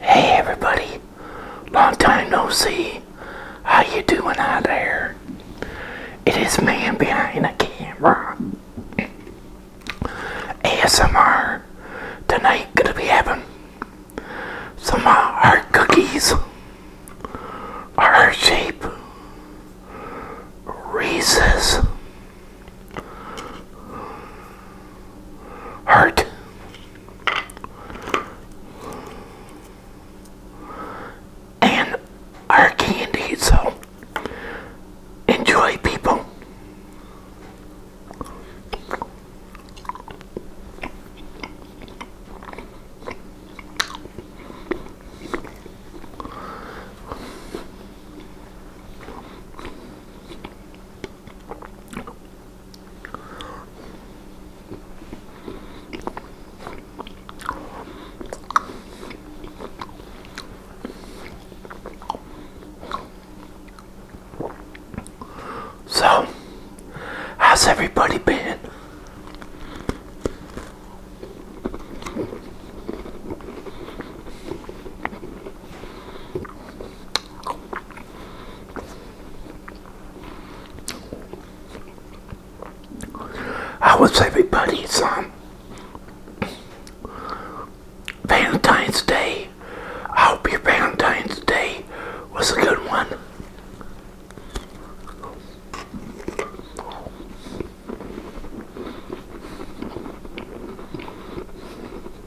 Hey everybody, long time no see. How you doing out there? It is man behind the camera. ASMR. Tonight gonna be having some of uh, our cookies. our shape. Reese's Heart. And our candy, so enjoy, people. So, how's everybody been? How was everybody's um, Valentine's Day? I hope your Valentine's Day was a good one.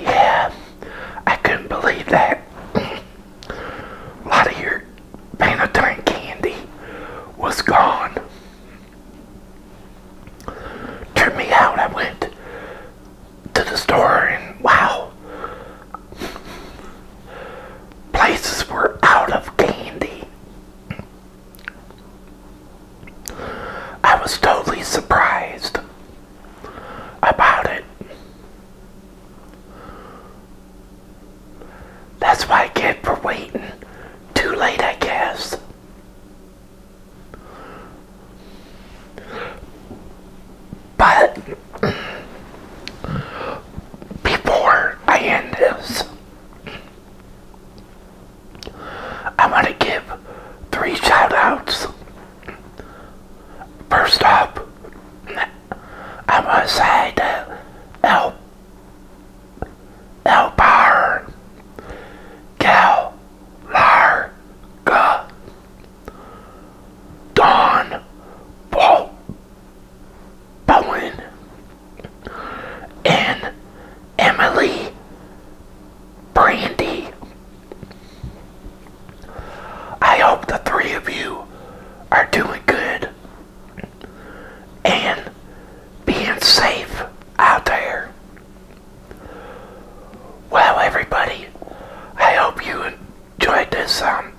Yeah, I couldn't believe that. A lot of your Panatine candy was gone. Turned me out. I went to the store, and wow, places were out of candy. I was totally surprised about it. That's why I get for waiting too late, I guess. But before I end this, I want to give three shout outs. First up, I want to say that El, El Bar Gal Larga Dawn, Paul Bowen and Emily Brandy. I hope the three of you are doing good and being safe out there. Well, everybody, I hope you enjoyed this um,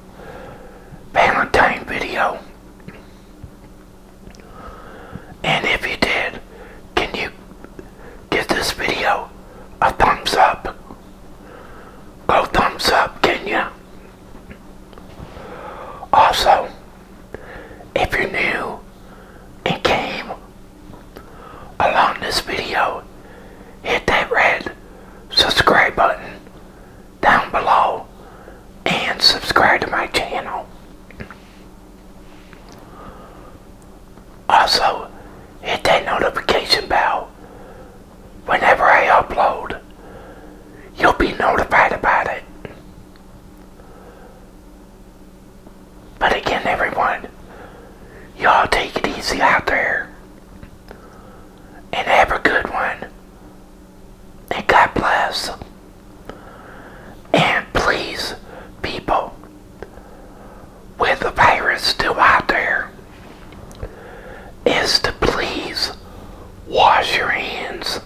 Valentine video. And if you did, can you give this video a thumbs up? Oh, thumbs up, can you? Also, if you're new and came along this video, hit that red subscribe button down below and subscribe to my channel. Also, hit that notification bell whenever I upload. You'll be notified about it. But again, everyone, Y'all take it easy out there. And have a good one. And God bless. And please, people, with the virus still out there, is to please wash your hands.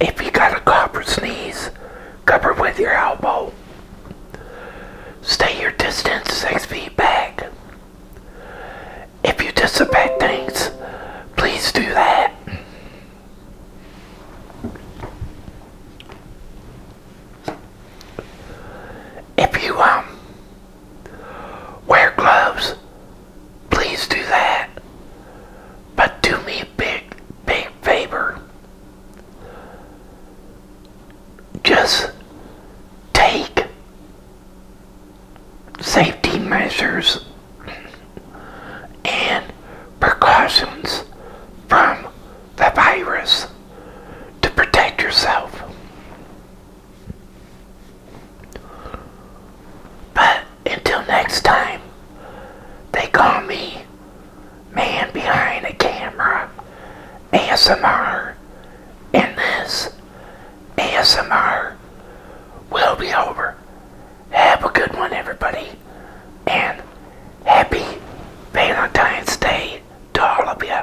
If you got a cough or sneeze, cover with your elbow. Stay your distance six feet back. If you disinfect things, please do that. If you um wear gloves, please do that. But do me a big, big favor just take safety measures and precautions from the virus to protect yourself. But until next time, they call me man behind the camera ASMR and this ASMR will be over. Have a good one everybody and happy Valentine's Day to all of you.